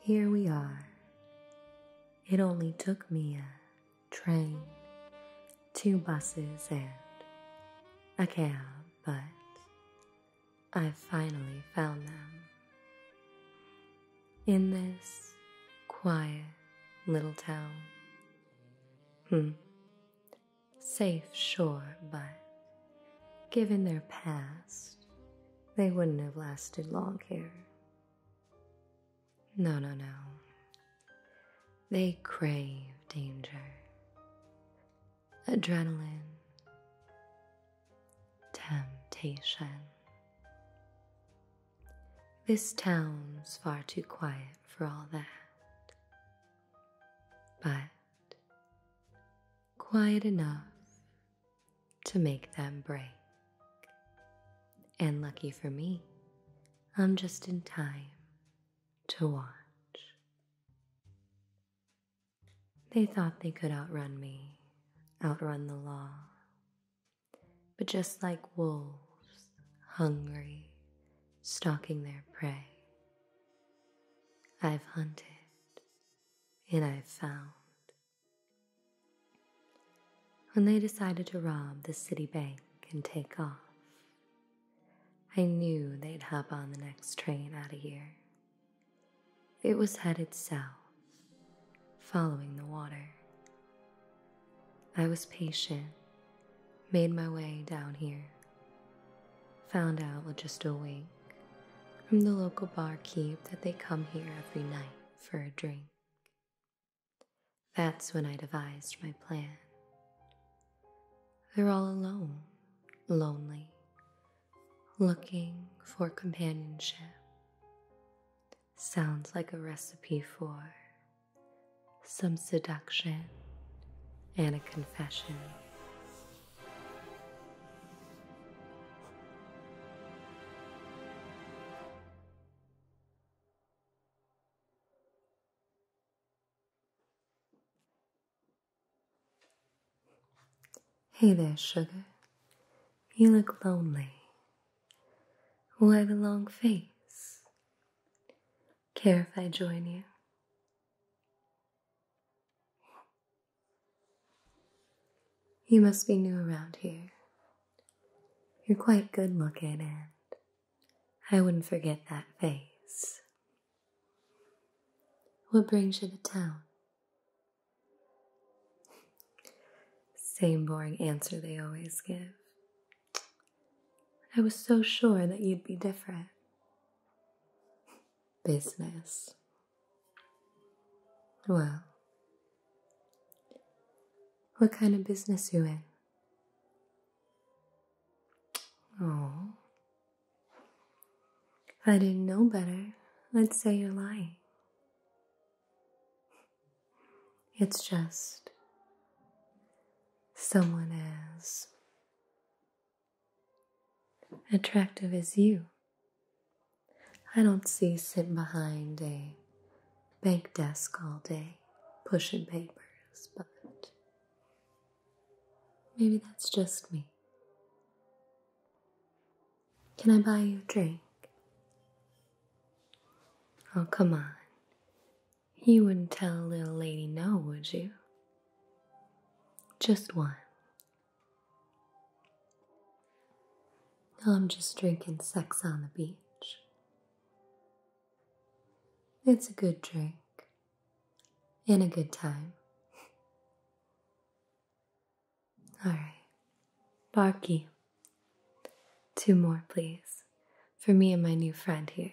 Here we are. It only took me a train, two buses, and a cab, but I finally found them in this quiet little town. Hmm. Safe, sure, but given their past, they wouldn't have lasted long here. No, no, no. They crave danger, adrenaline, Temptation. This town's far too quiet for all that, but quiet enough to make them break. And lucky for me, I'm just in time to watch. They thought they could outrun me, outrun the law. But just like wolves, hungry, stalking their prey, I've hunted and I've found. When they decided to rob the city bank and take off, I knew they'd hop on the next train out of here it was headed south, following the water. I was patient, made my way down here, found out just a Wink from the local barkeep that they come here every night for a drink. That's when I devised my plan. They're all alone, lonely, looking for companionship sounds like a recipe for some seduction and a confession. Hey there, sugar. You look lonely. Why the long face? Care if I join you? You must be new around here. You're quite good looking, and I wouldn't forget that face. What brings you to town? Same boring answer they always give. I was so sure that you'd be different. Business. Well, what kind of business you in? Oh, I didn't know better. Let's say you're lying. It's just someone as attractive as you. I don't see sitting behind a bank desk all day pushing papers, but maybe that's just me. Can I buy you a drink? Oh, come on. You wouldn't tell a little lady no, would you? Just one. I'm just drinking sex on the beach. It's a good drink. In a good time. All right, Barky. Two more, please, for me and my new friend here.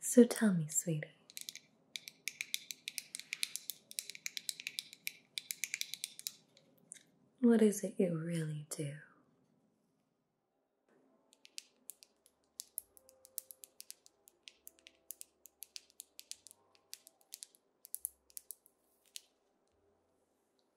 So tell me, sweetie, what is it you really do?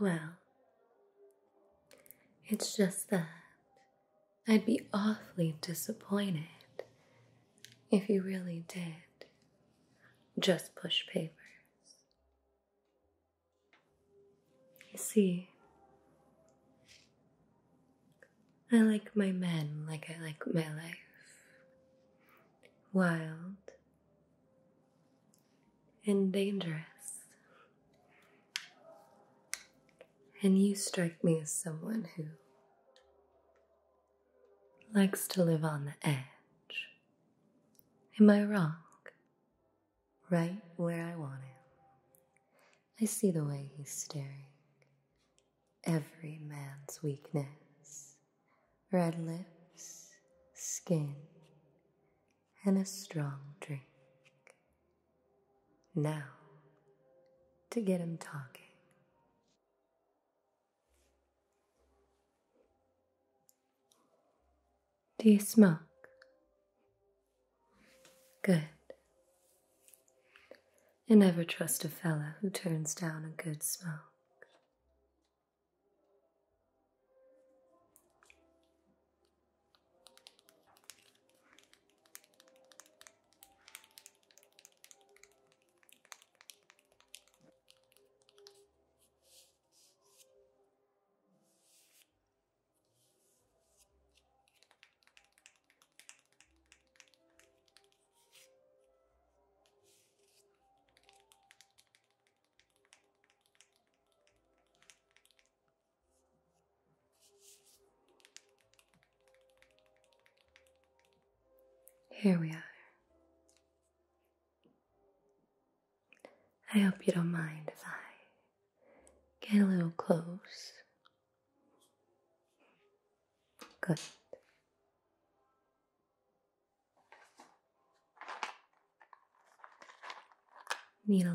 Well, it's just that I'd be awfully disappointed if you really did just push papers. You see, I like my men like I like my life. Wild and dangerous. And you strike me as someone who likes to live on the edge. Am I wrong? Right where I want him. I see the way he's staring every man's weakness, red lips, skin, and a strong drink. Now, to get him talking. Do you smoke? Good. You never trust a fella who turns down a good smoke. Here we are. I hope you don't mind if I get a little close Good. Need a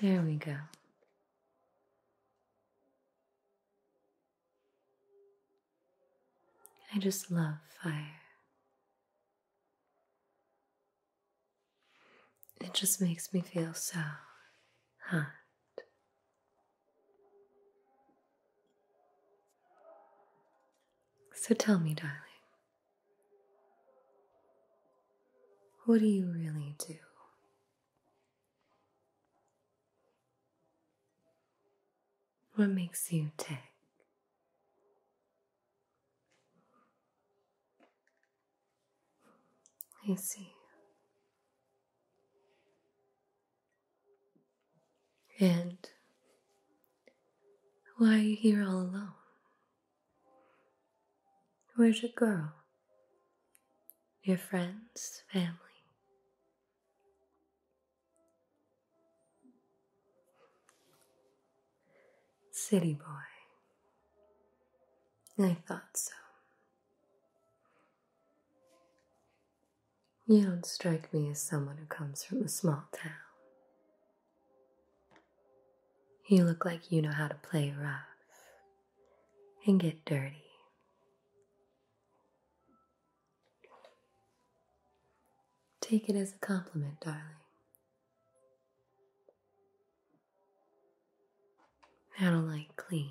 There we go. I just love fire. It just makes me feel so hot. So tell me, darling, what do you really do? What makes you tick? I see. And why are you here all alone? Where's your girl? Your friends, family? City boy. I thought so. You don't strike me as someone who comes from a small town. You look like you know how to play rough and get dirty. Take it as a compliment, darling. I don't like clean.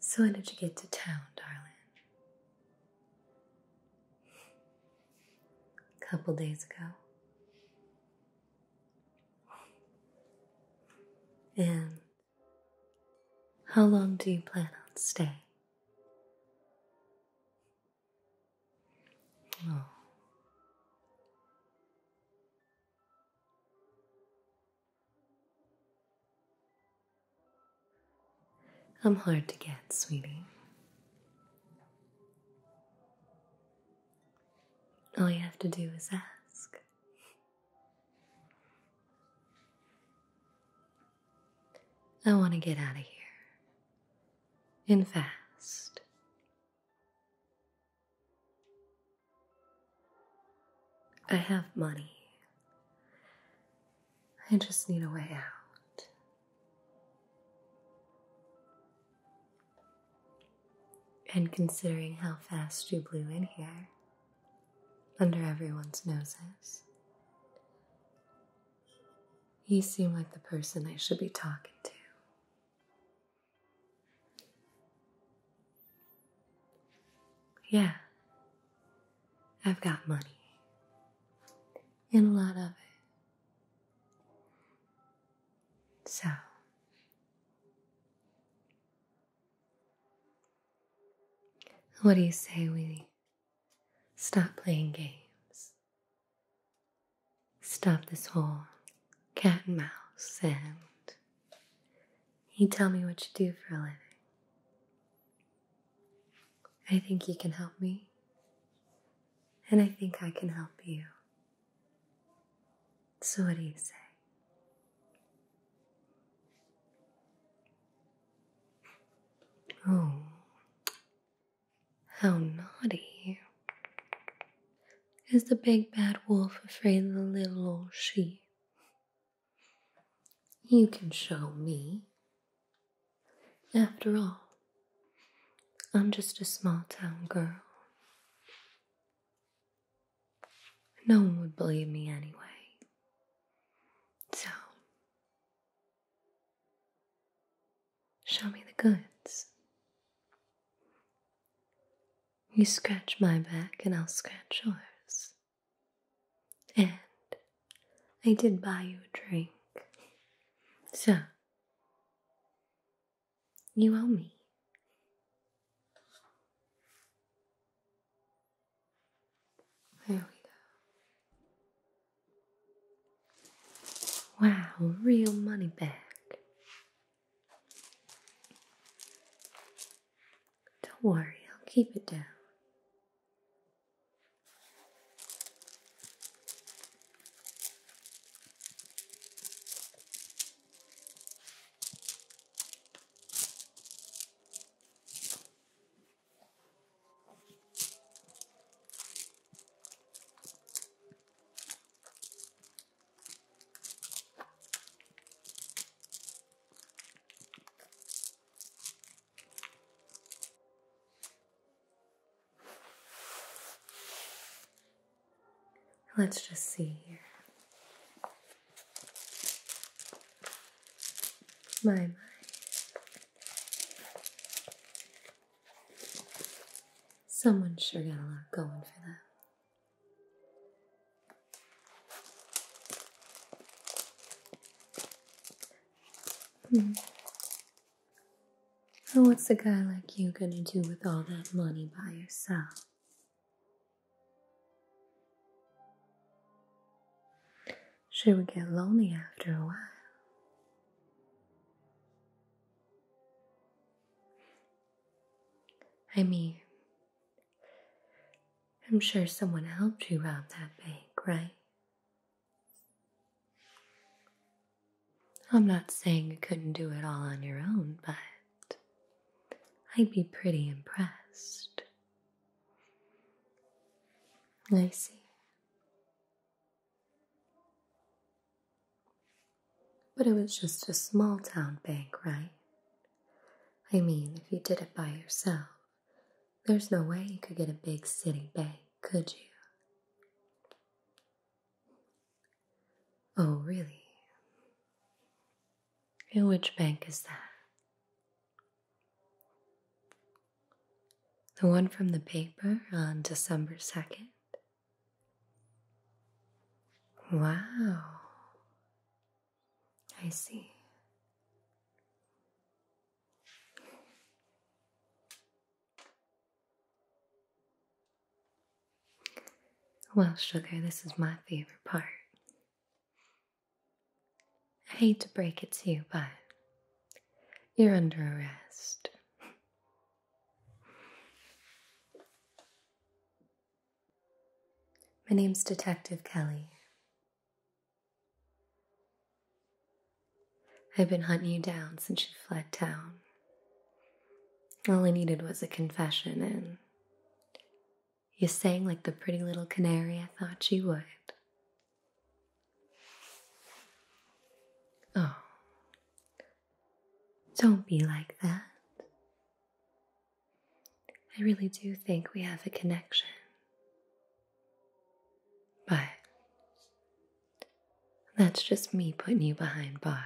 So when did you get to town, darling? A couple days ago. And how long do you plan on staying? Oh. I'm hard to get, sweetie. All you have to do is ask. I want to get out of here. And fast. I have money. I just need a way out. And considering how fast you blew in here, under everyone's noses, you seem like the person I should be talking to. Yeah, I've got money. And a lot of it. So. What do you say we stop playing games? Stop this whole cat and mouse and you tell me what you do for a living. I think you can help me, and I think I can help you. So, what do you say? Oh, how naughty. Is the big bad wolf afraid of the little old sheep? You can show me. After all, I'm just a small town girl. No one would believe me anyway. So, show me the goods. You scratch my back and I'll scratch yours. And I did buy you a drink. So, you owe me. There we go. Wow, real money back. Don't worry, I'll keep it down. Let's just see here. My, my. Someone sure got a lot going for them. Hmm. Oh, what's a guy like you gonna do with all that money by yourself? She would get lonely after a while. I mean, I'm sure someone helped you rob that bank, right? I'm not saying you couldn't do it all on your own, but I'd be pretty impressed. I see. But it was just a small town bank, right? I mean, if you did it by yourself, there's no way you could get a big city bank, could you? Oh, really? And which bank is that? The one from the paper on December 2nd? Wow. I see. Well, sugar, this is my favorite part. I hate to break it to you, but you're under arrest. My name's Detective Kelly. I've been hunting you down since you fled town. All I needed was a confession, and you sang like the pretty little canary I thought you would. Oh, don't be like that. I really do think we have a connection. But that's just me putting you behind bars.